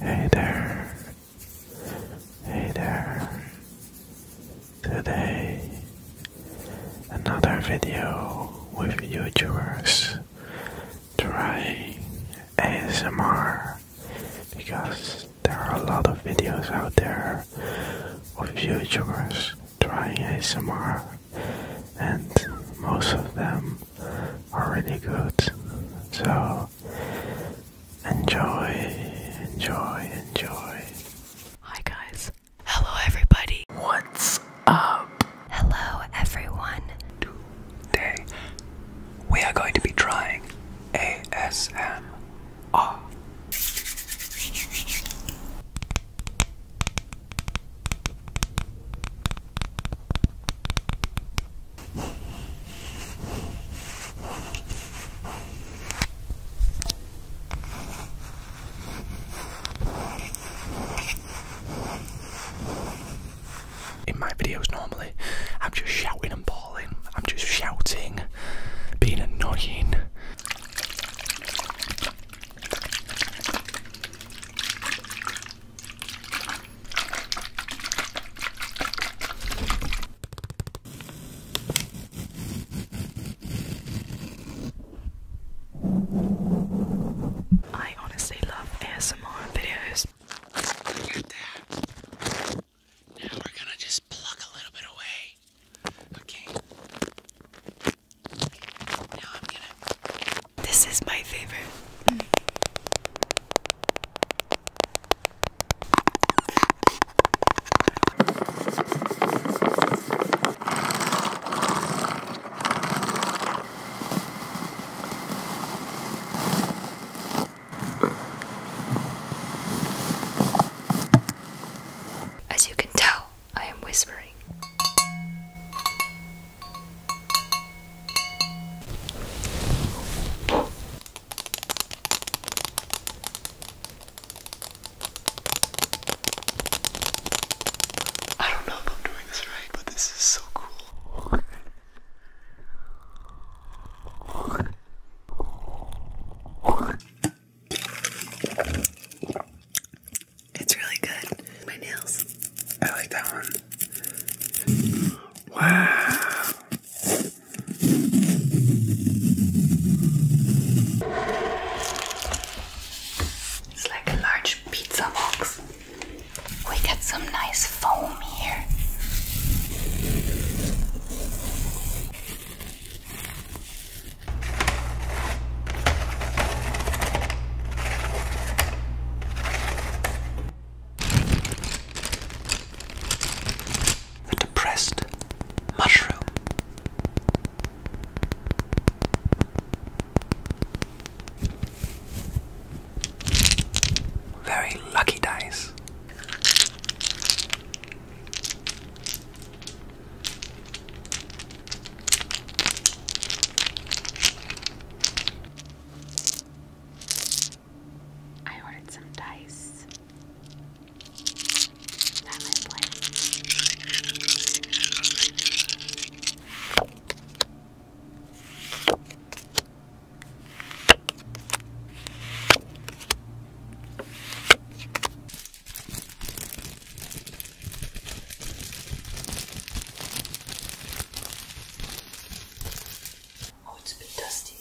Hey there. Hey there. Today, another video with YouTubers trying ASMR because there are a lot of videos out there of YouTubers trying ASMR and most of them are really good. So enjoy, enjoy, enjoy. Hi guys. Hello everybody. What's up? Hello everyone. Today we are going to be trying ASMR. In my videos, normally, I'm just shouting and bawling. I'm just shouting, being annoying. I honestly love ASMR videos. Now we're gonna just pluck a little bit away. Okay. This is my favorite. As you can tell, I am whispering. I don't know if I'm doing this right, but this is so cool. It's really good. My nails. I like that one. Wow. It's like a large pizza box. We got some nice foam here. The depressed mushroom. Very lucky dice. I ordered some dice at my place. Oh, it's a bit dusty.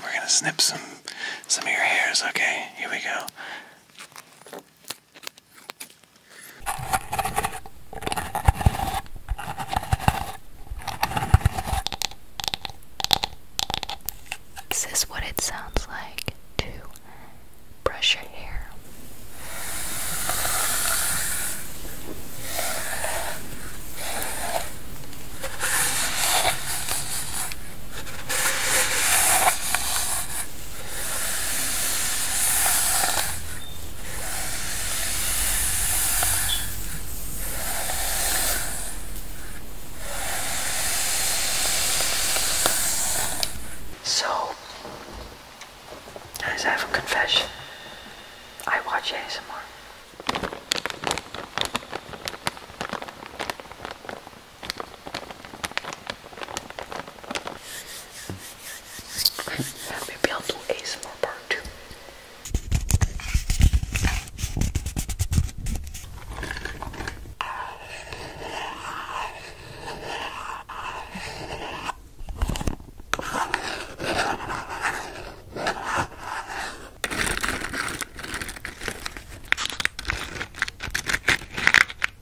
We're gonna snip some some of your hairs, okay? Here we go. This is what it sounds like to brush your hair. So, as I have a confession, I watch ASMR. Maybe I'll do ASMR part two.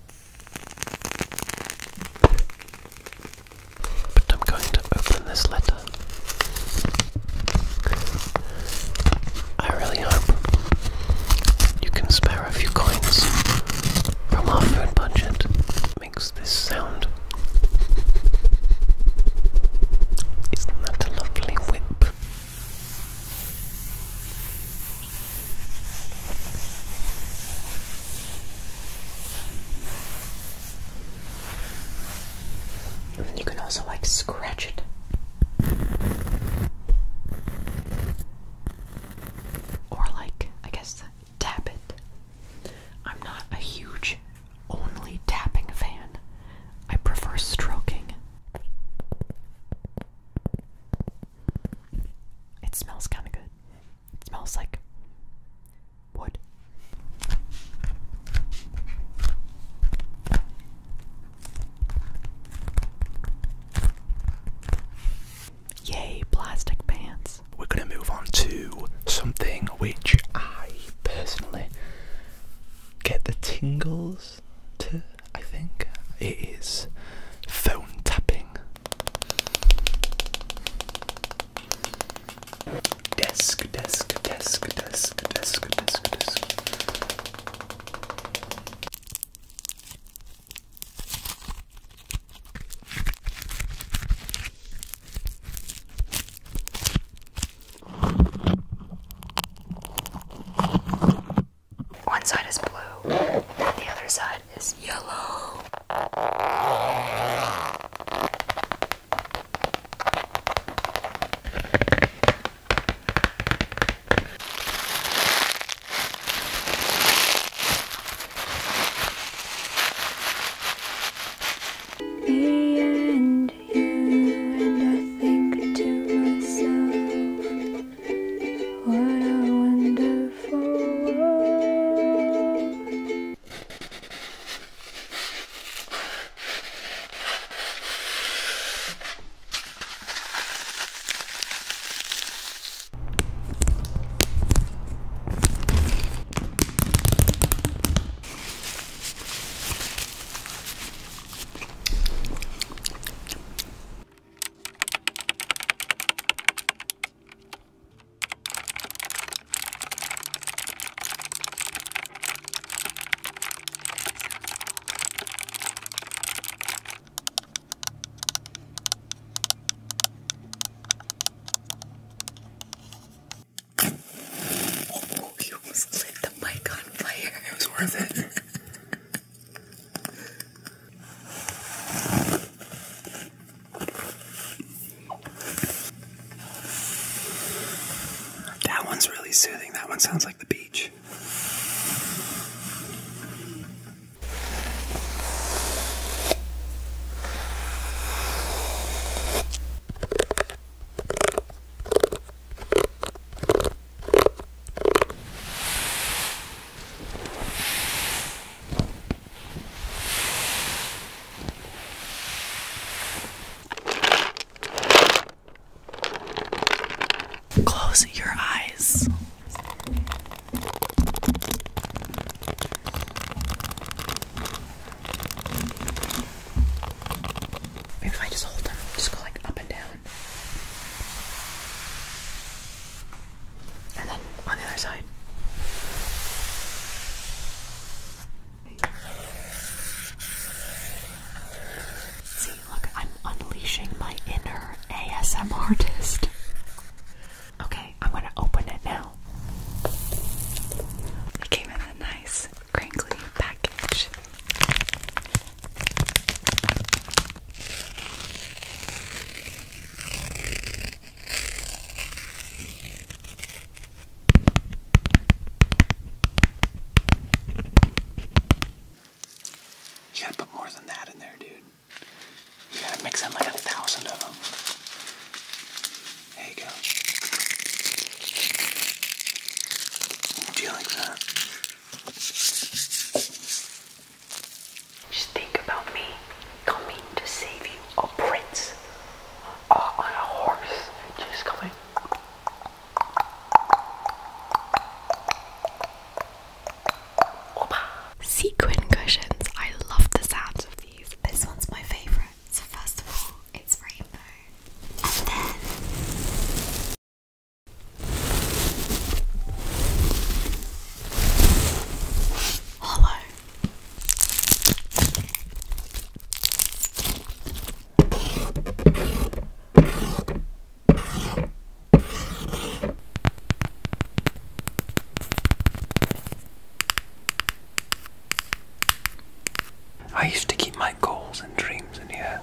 But I'm going to open this letter. I really hope you can spare a few coins from our food budget. Makes this sound. Isn't that a lovely whip? You can also like scratch it or like I guess tap it. I'm not a huge only tapping fan. I prefer stroking. It smells kind of good. It smells like wood. Yay, plastic pants. We're going to move on to something which I personally get the tingles X T, I think. It is phone tapping. Desk, desk, desk, desk, desk, desk, desk. One side is blue, and the other side is yellow. Me and you, and I think to myself, what a wonderful world. Oh, you almost lit the mic on fire. It was worth it. That one's really soothing. That one sounds like the beach. Close your eyes. Maybe if I just hold them, just go like up and down. And then on the other side. See, look, I'm unleashing my inner ASM artist. Okay, I'm gonna open it now. It came in a nice, crinkly package. You gotta put more than that in there, dude. You gotta mix in like a thousand of them. There you go. Do you like that? Just think about me coming to save you, a prince on a horse, just coming. Sequin cushions. I love the sound of these. This one's my favorite. So first of all, it's rainbow, and then Hollow. I used to keep my goals and dreams in here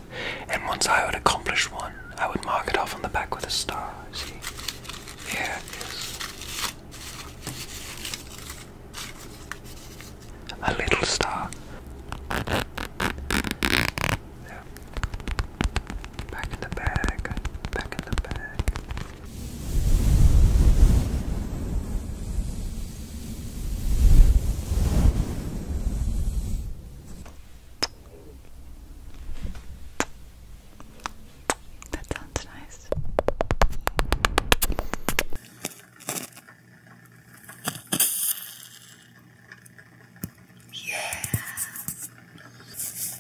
and once I would accomplish one, I would mark it off on the back with a star. See? Here it is. A little star. There. Back in the bag. Back in the bag. That sounds nice. Yeah.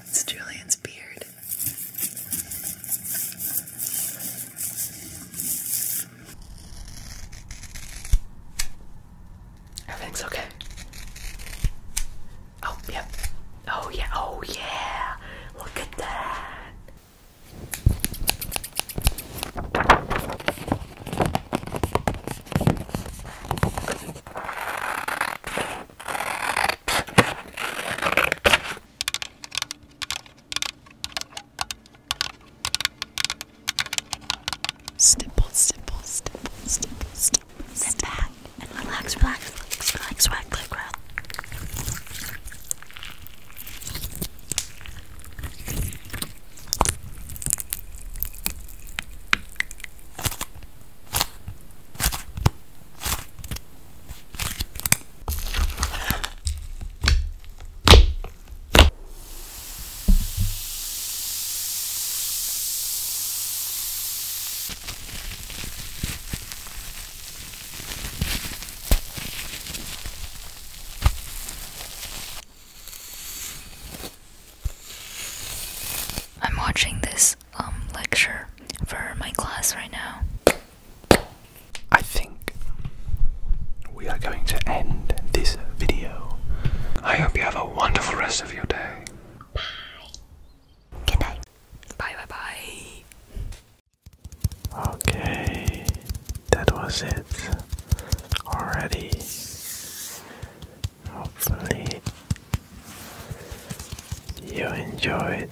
It's Julian's beard. Everything's okay. Oh, Yeah. Oh, yeah. Oh, yeah. Look at that. Stipple, stipple, stipple, stipple, stipple. Sit back and relax, relax, relax, relax, relax, relax, relax. I'm watching this um, lecture for my class right now. I think we are going to end this video. I hope you have a wonderful rest of your day. Bye. Good night. Bye bye bye. Okay, that was it already. Hopefully, you enjoyed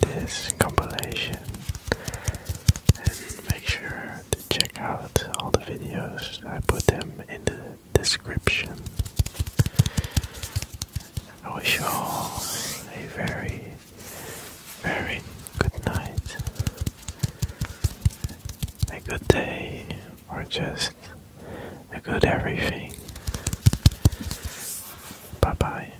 this compilation and make sure check out all the videos. I put them in the description. I wish you all a very, very good night, a good day, or just a good everything. Bye bye.